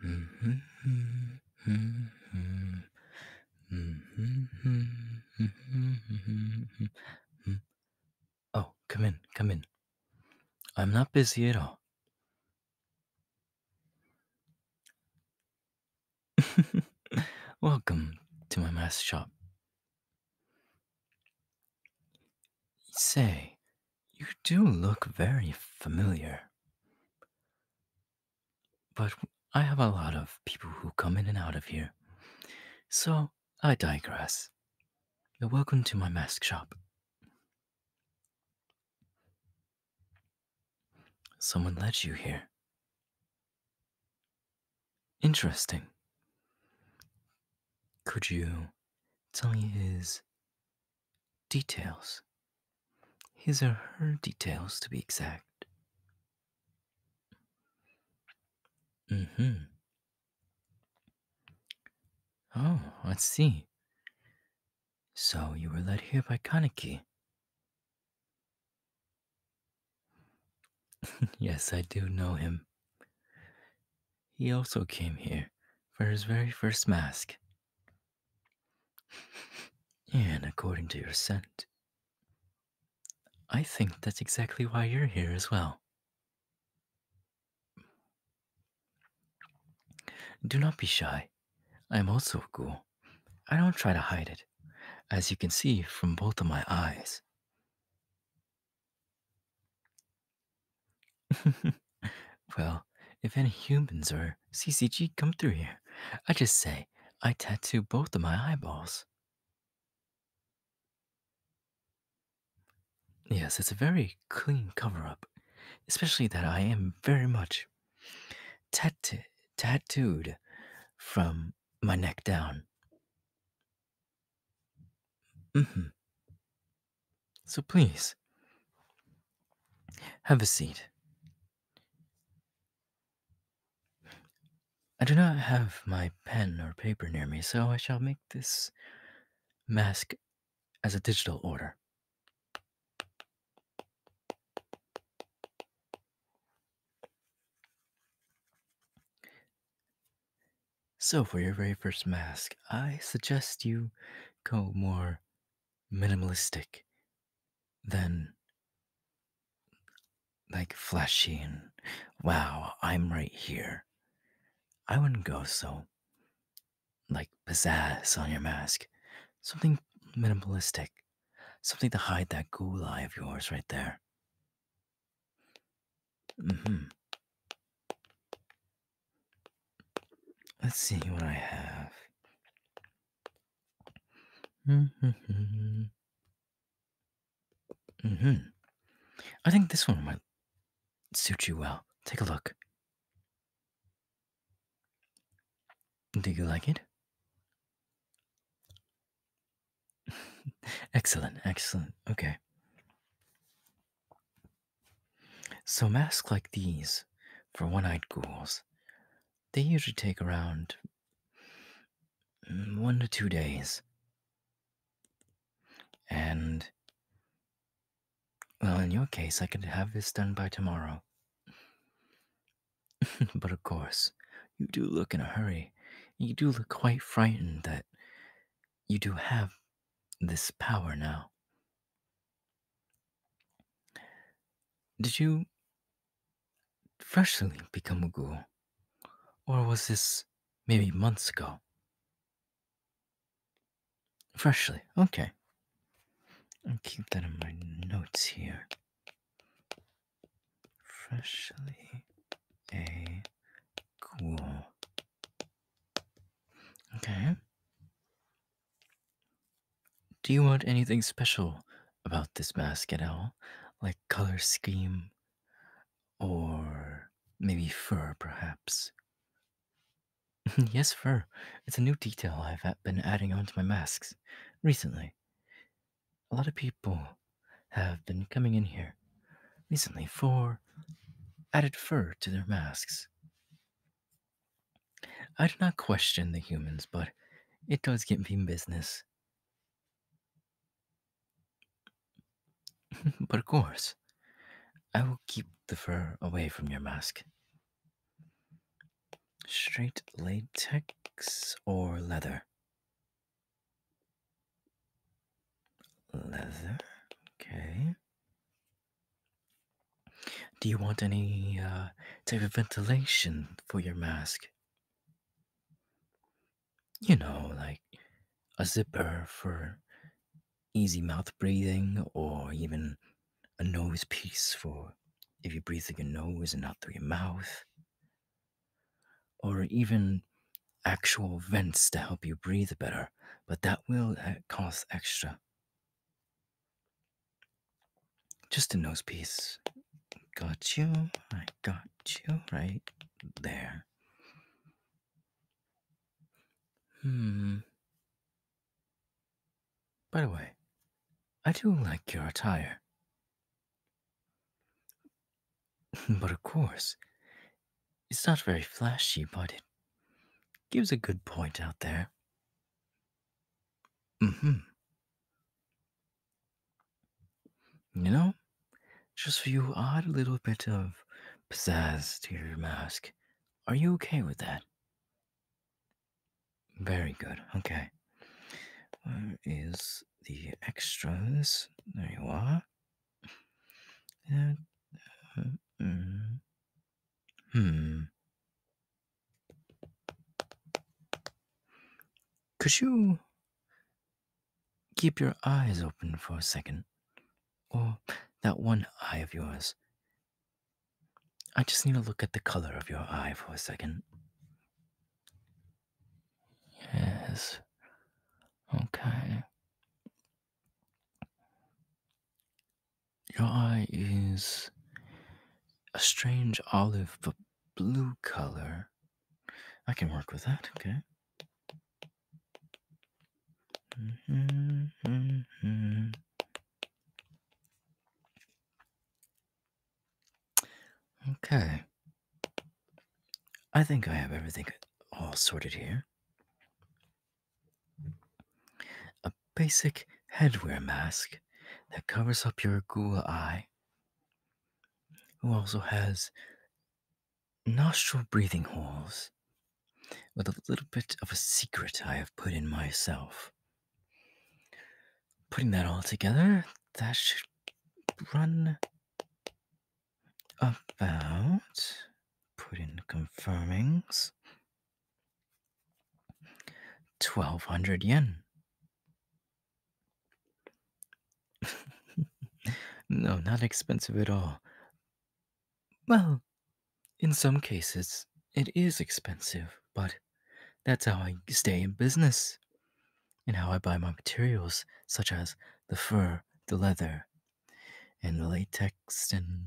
Mm-hmm. Mm-hmm. Mm-hmm. Oh, come in, come in. I'm not busy at all. Welcome to my mask shop. Say, you do look very familiar. But I have a lot of people who come in and out of here. So I digress. You're welcome to my mask shop. Someone led you here. Interesting. Could you tell me his details? His or her details, to be exact. Mm hmm. Oh, let's see. So you were led here by Kaneki. yes, I do know him. He also came here for his very first mask. and according to your scent, I think that's exactly why you're here as well. Do not be shy. I'm also a ghoul. I don't try to hide it, as you can see from both of my eyes. well, if any humans or CCG come through here, I just say I tattoo both of my eyeballs. Yes, it's a very clean cover up, especially that I am very much tat tattooed from my neck down. Mm-hmm. So please, have a seat. I do not have my pen or paper near me, so I shall make this mask as a digital order. So, for your very first mask, I suggest you go more minimalistic than like flashy and wow, I'm right here. I wouldn't go so like pizzazz on your mask, something minimalistic. Something to hide that ghoul eye of yours right there. Mm-hmm. Let's see what I have. Mm-hmm. Mm-hmm. I think this one might suit you well. Take a look. Do you like it? excellent, excellent. Okay. So, masks like these for one eyed ghouls, they usually take around mm, one to two days. And, well, in your case, I could have this done by tomorrow. but of course, you do look in a hurry. You do look quite frightened that you do have this power now. Did you freshly become a ghoul? Or was this maybe months ago? Freshly. Okay. I'll keep that in my notes here. Freshly a cool. Okay. Do you want anything special about this mask at all? Like color scheme or maybe fur, perhaps? Mm-hmm, yes, fur. It's a new detail I've been adding onto my masks recently. A lot of people have been coming in here recently for added fur to their masks. I do not question the humans, but it does get me business. but of course, I will keep the fur away from your mask. Straight latex or leather? Leather, okay. Do you want any uh, type of ventilation for your mask? You know, like a zipper for easy mouth breathing or even a nose piece for if you breathe through your nose and not through your mouth, or even actual vents to help you breathe better, but that will uh, cost extra. Just a nose piece. Got you. I got you right there. Hmm. By the way, I do like your attire. but of course, it's not very flashy, but it gives a good point out there. Mm hmm. You know, just for you, add a little bit of pizzazz to your mask. Are you okay with that? Very good. Okay. Where is the extras? There you are. Hmm. uh, hmm. Could you keep your eyes open for a second? Or that one eye of yours. I just need to look at the color of your eye for a second. Yes. Okay. Your eye is a strange olive but blue color. I can work with that, okay? Mm-hmm. Okay. I think I have everything all sorted here. A basic headwear mask that covers up your ghoul eye, who also has nostril breathing holes with a little bit of a secret I have put in myself. Putting that all together, that should run about. putting confirmings. 1200 yen. no, not expensive at all. Well, in some cases, it is expensive, but that's how I stay in business and how I buy my materials, such as the fur, the leather, and the latex, and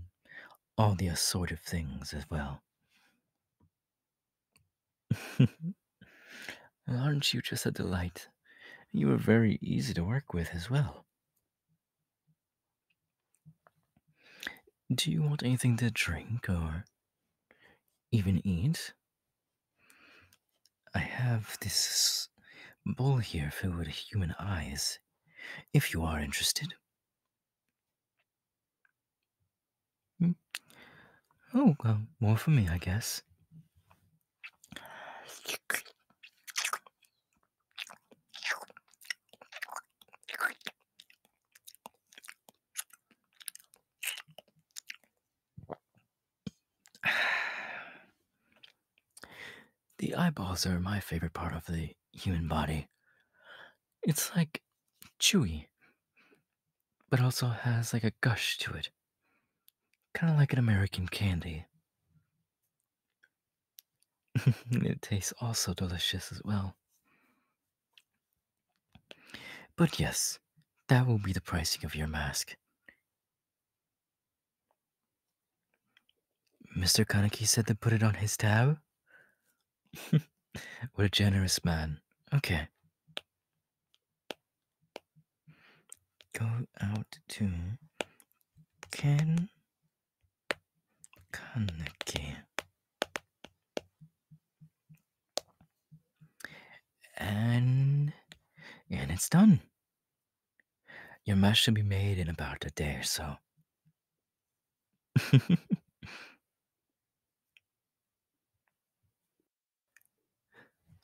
all the assorted things as well. Aren't you just a delight? You are very easy to work with as well. Do you want anything to drink or even eat? I have this bowl here filled with human eyes, if you are interested. Hmm. Oh, well, more for me, I guess. The eyeballs are my favorite part of the human body. It's like chewy but also has like a gush to it. Kind of like an American candy. it tastes also delicious as well. But yes, that will be the pricing of your mask. Mr. Kaneki said to put it on his tab? what a generous man. Okay go out to Ken Kaneki and and it's done. Your mash should be made in about a day or so.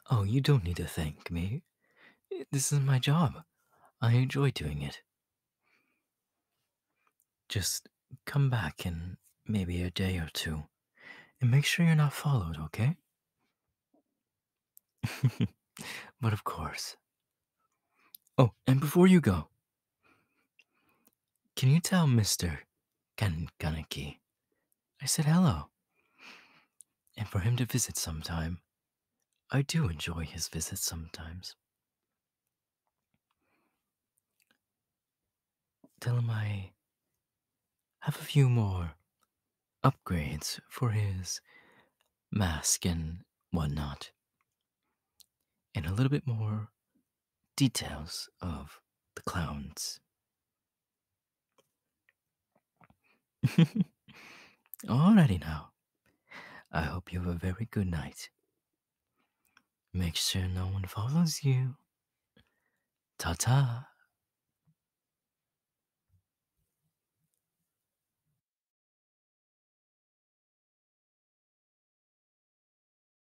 Oh, you don't need to thank me. This is my job. I enjoy doing it. Just come back in maybe a day or two and make sure you're not followed, okay? but of course. Oh, and before you go, can you tell Mr. Gan- Ganeki. I said hello. And for him to visit sometime. I do enjoy his visits sometimes. Tell him I have a few more upgrades for his mask and whatnot, and a little bit more details of the clowns. Alrighty now. I hope you have a very good night. Make sure no one follows you. Ta ta.